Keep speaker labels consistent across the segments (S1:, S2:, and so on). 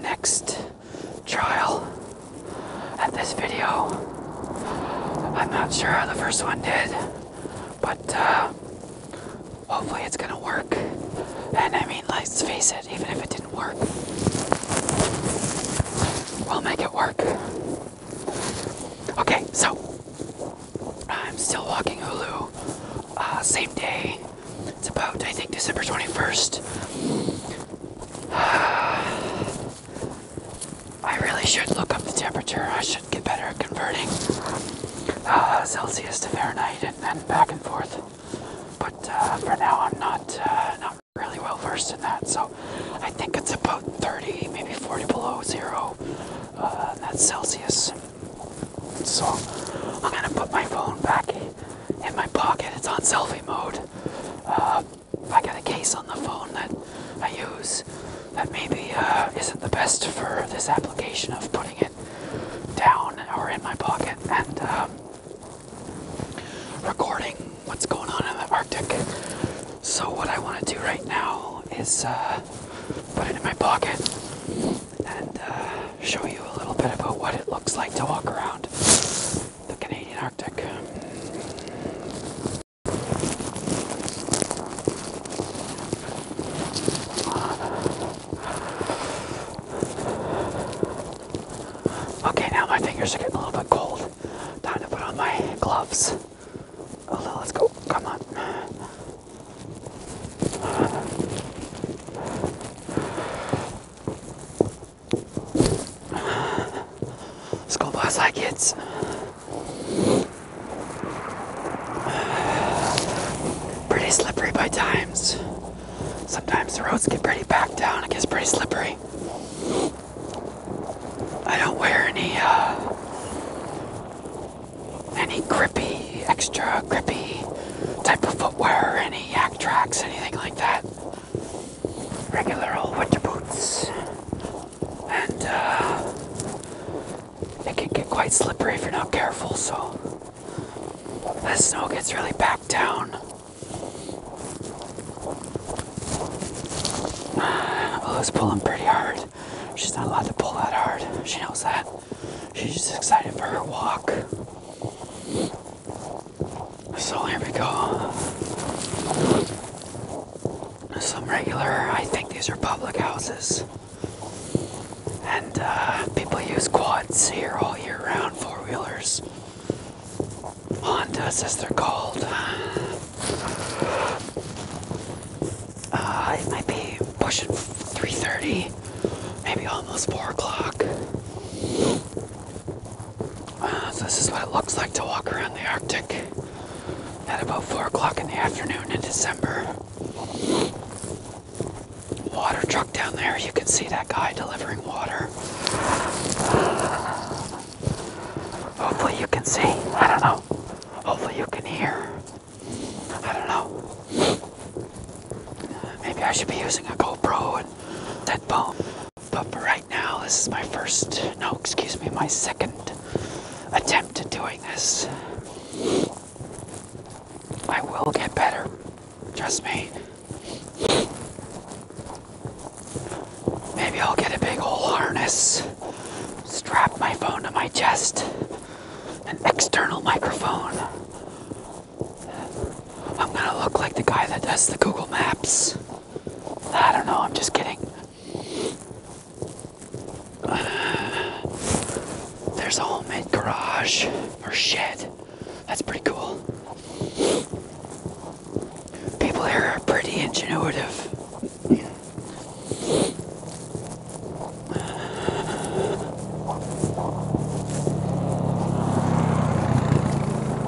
S1: next trial at this video. I'm not sure how the first one did, but uh, hopefully it's gonna work. And I mean, let's face it, even if it didn't work, we'll make it work. Okay, so I'm still walking Hulu, uh, same day, it's about, I think, December 21st. I really should look up the temperature. I should get better at converting uh, Celsius to Fahrenheit and, then back and forth. But uh, for now, I'm not uh, not really well versed in that. So I think it's about 30, maybe 40 below zero. Uh, that's Celsius. So I'm gonna put my phone back in my pocket. It's on selfie mode. Uh, I got a case on the phone that I use that maybe uh, isn't the best for this application of putting it down or in my pocket and um, recording what's going on in the Arctic. So what I want to do right now is uh, put it in my pocket and uh, show you a little bit about what it looks like to walk around the Canadian Arctic. Okay, now my fingers are getting a little bit cold. Time to put on my gloves let's go. Come on. Let's go, boss. Hi, kids. Pretty slippery by times. Sometimes the roads get pretty back down. It gets pretty slippery. I don't wear any uh, any grippy, extra grippy type of footwear, any yak tracks, anything like that. Regular old winter boots. And uh, it can get quite slippery if you're not careful, so the snow gets really packed down. Ella's oh, pulling pretty hard. She's not allowed to pull that hard. She knows that. She's just excited for her walk. So here we go. Some regular, I think these are public houses. And uh, people use quads here all year round, four wheelers. Hondas as they're called. Uh, it might be pushing 3.30, maybe almost 4 o'clock. Uh, so this is what it looks like to walk around the Arctic at about 4 o'clock in the afternoon in December water truck down there. You can see that guy delivering water. Hopefully, you can see. I don't know. Hopefully, you can hear. I don't know. Maybe I should be using a GoPro and headphone. But for right now, this is my first, no, excuse me, my second attempt at doing this. I will get better. Trust me. Maybe I'll get a big old harness, strap my phone to my chest, an external microphone. I'm gonna look like the guy that does the Google Maps. I don't know, I'm just kidding there's a homemade garage or shed. That's pretty cool. People here are pretty ingenuitive.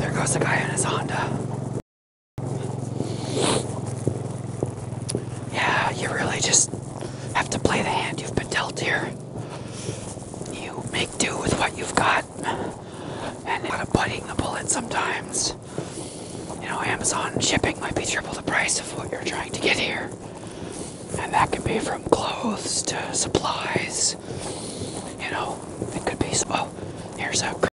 S1: There goes a guy in his Honda. Yeah, you really just have to play the hand you've been dealt here. You make do with what you've got. And a lot of biting the bullet sometimes. You know, Amazon shipping might be triple the price of what you're trying to get here. And that could be from clothes to supplies. You know, it could be, well, oh, here's a